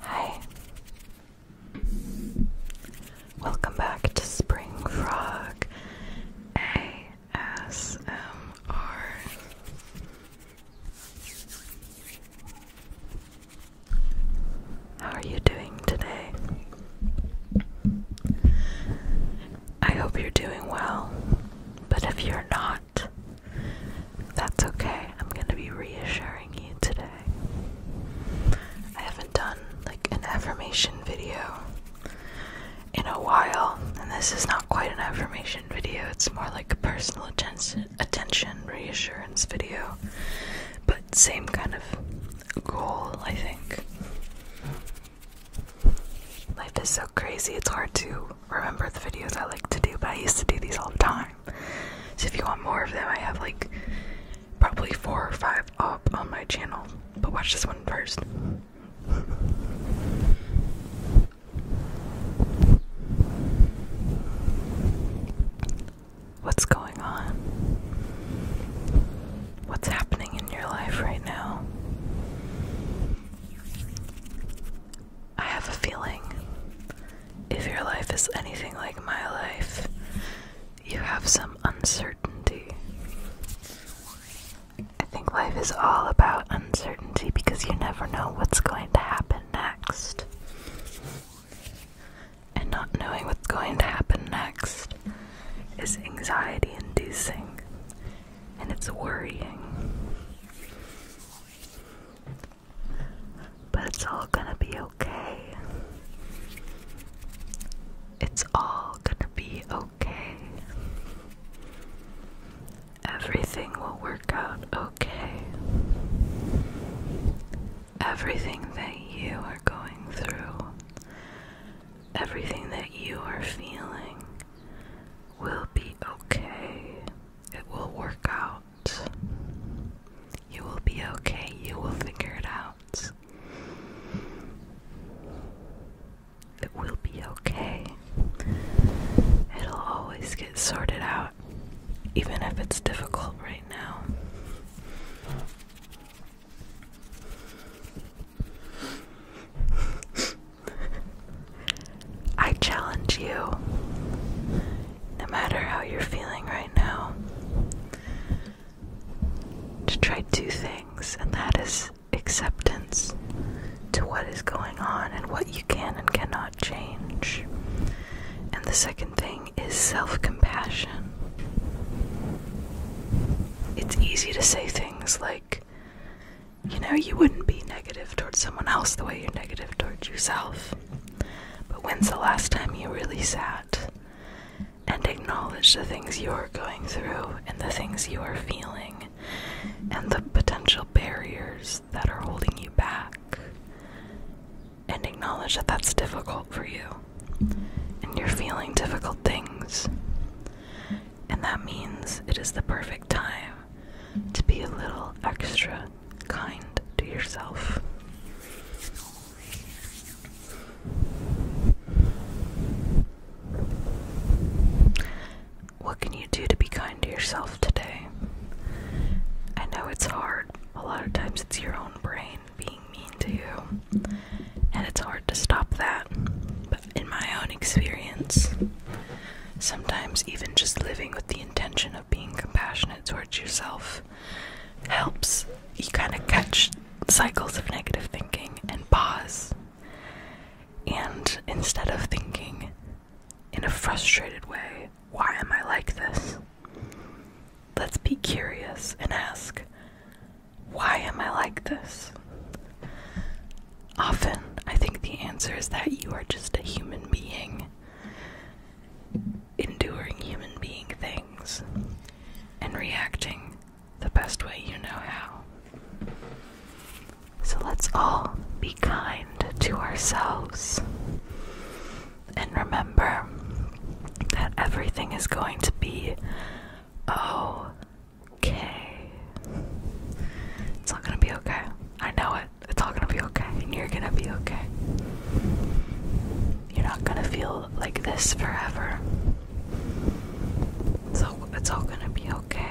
Hi. Welcome back to Spring Frog ASMR. How are you doing today? I hope you're doing well. But if you're not, that's okay. I'm going to be reassuring you today. I haven't done like an affirmation video in a while, and this is not quite an affirmation video, it's more like a personal attention, attention reassurance video, but same kind of goal, I think. Life is so crazy, it's hard to remember the videos I like to do, but I used to do these all the time. So if you want more of them, I have like probably four or five up on my channel. But watch this one first. What's going on? What's happening in your life right now? I have a feeling if your life is anything like my life, you have some uncertainty. I think life is all about uncertainty because you never know what's going to happen next. And not knowing what's going to happen next is anxiety inducing and it's worrying. But it's all gonna be okay. It's all gonna be okay. Everything will work out okay. Everything that you are going through, everything that you are feeling, will be okay. It will work out. You will be okay. You will figure it out. It will be okay. It'll always get sorted out, even if it's difficult right now. I challenge you, no matter how you're feeling right now, to try two things, and that is acceptance to what is going on and what you can and cannot change. And the second thing is self compassion. It's easy to say things like, you know, you wouldn't be negative towards someone else the way you're negative towards yourself. But when's the last time you really sat and acknowledged the things you are going through and the things you are feeling and the potential barriers that are holding you back? And acknowledge that that's difficult for you and you're feeling difficult things and that means it is the perfect time to be a little extra kind to yourself. What can you do to be kind to yourself today? I know it's hard. A lot of times it's your own brain being mean to you, and it's hard to stop that in my own experience. Sometimes, even just living with the intention of being compassionate towards yourself helps you kind of catch cycles of negative thinking and pause. And instead of thinking in a frustrated way, why am I like this? Let's be curious and ask, why am I like this? Often, I think the answer is that you are just a human being, enduring human being things, and reacting the best way you know how. So let's all be kind to ourselves and remember that everything is going to be oh, okay. It's all gonna be okay. I know it. It's all gonna be okay, and you're gonna be okay. You're not gonna feel like this forever. So it's all gonna be okay.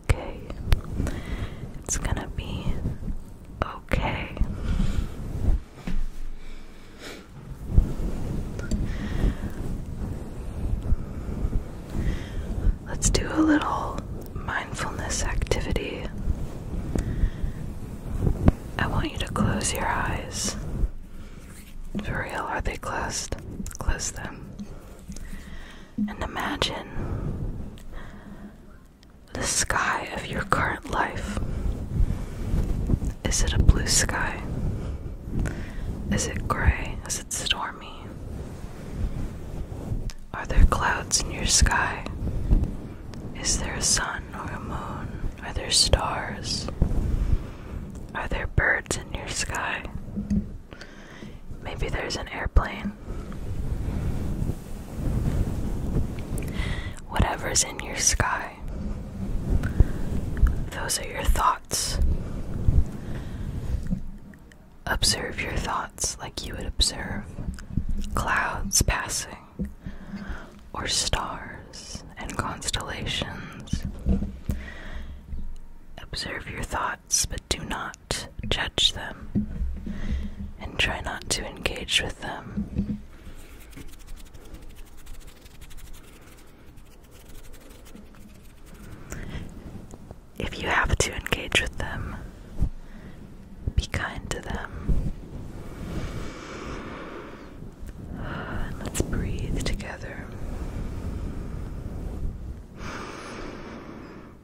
okay. It's gonna be okay. Let's do a little mindfulness activity. I want you to close your eyes. For real, are they closed? Close them. And imagine the sky of your current life? Is it a blue sky? Is it gray? Is it stormy? Are there clouds in your sky? Is there a sun or a moon? Are there stars? Are there birds in your sky? Maybe there's an airplane Whatever's in your sky, those are your thoughts. Observe your thoughts like you would observe clouds passing or stars and constellations. Observe your thoughts, but do not judge them and try not to engage with them. If you have to engage with them, be kind to them. And let's breathe together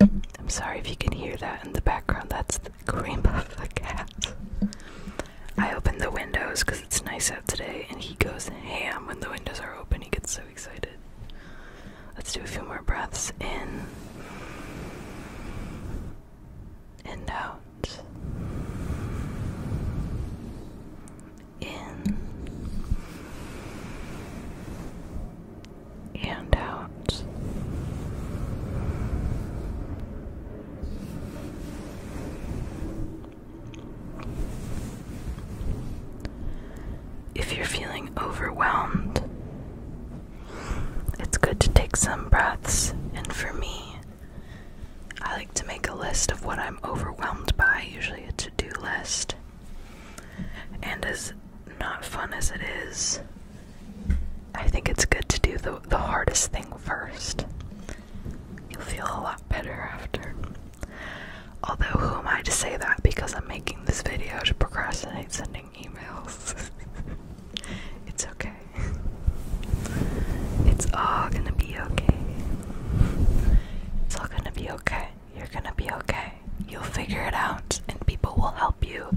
I'm sorry if you can hear that in the background. That's the cream of the cat. I open the windows because it's nice out today, and he goes ham when the windows are open. He gets so excited. Let's do a few more breaths in and out. In and out. If you're feeling overwhelmed, it's good to take some breaths. And for me, I like to make a list of what I'm overwhelmed by, usually a to do list. And as not fun as it is, I think it's good to do the, the hardest thing first. You'll feel a lot better after. Although, who am I to say that because I'm making this video to procrastinate sending emails? it's okay. It's all gonna be okay. It's all gonna be okay. You're gonna be okay. You'll figure it out, and people will help you,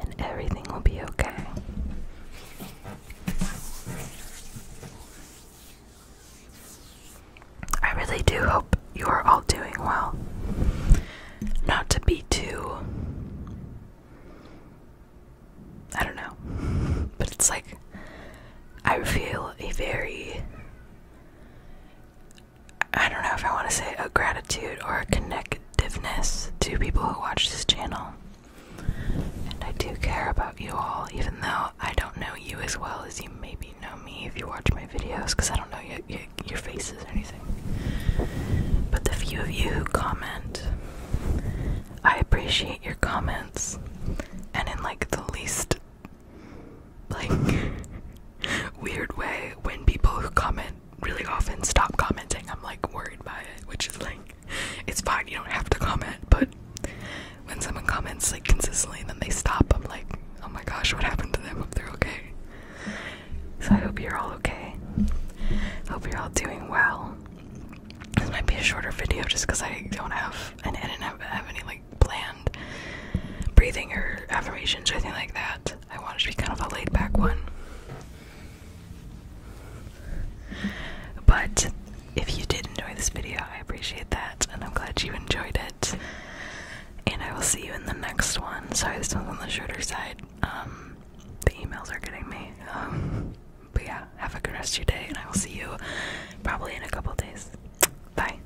and everything will be okay. I really do hope you are all doing well. Not to be too. I don't know. But it's like, I feel a very I don't know if I want to say a gratitude or a connectiveness to people who watch this channel. And I do care about you all, even though I don't know you as well as you maybe know me if you watch my videos, because I don't know your, your, faces or anything. But the few of you who comment, I appreciate your comments, and in like the least like weird way when people who comment really often stop commenting i'm like worried by it which is like it's fine you don't have to comment but when someone comments like consistently and then they stop i'm like oh my gosh what happened to them If they're okay so i hope you're all okay hope you're all doing well this might be a shorter video just because i don't have and i didn't have, have any like planned breathing or affirmations or anything like that. I want it to be kind of a laid back one. But if you did enjoy this video, I appreciate that and I'm glad you enjoyed it. And I will see you in the next one. Sorry, this one's on the shorter side. Um, the emails are getting me. Um, but yeah, have a good rest of your day and I will see you probably in a couple days. Bye.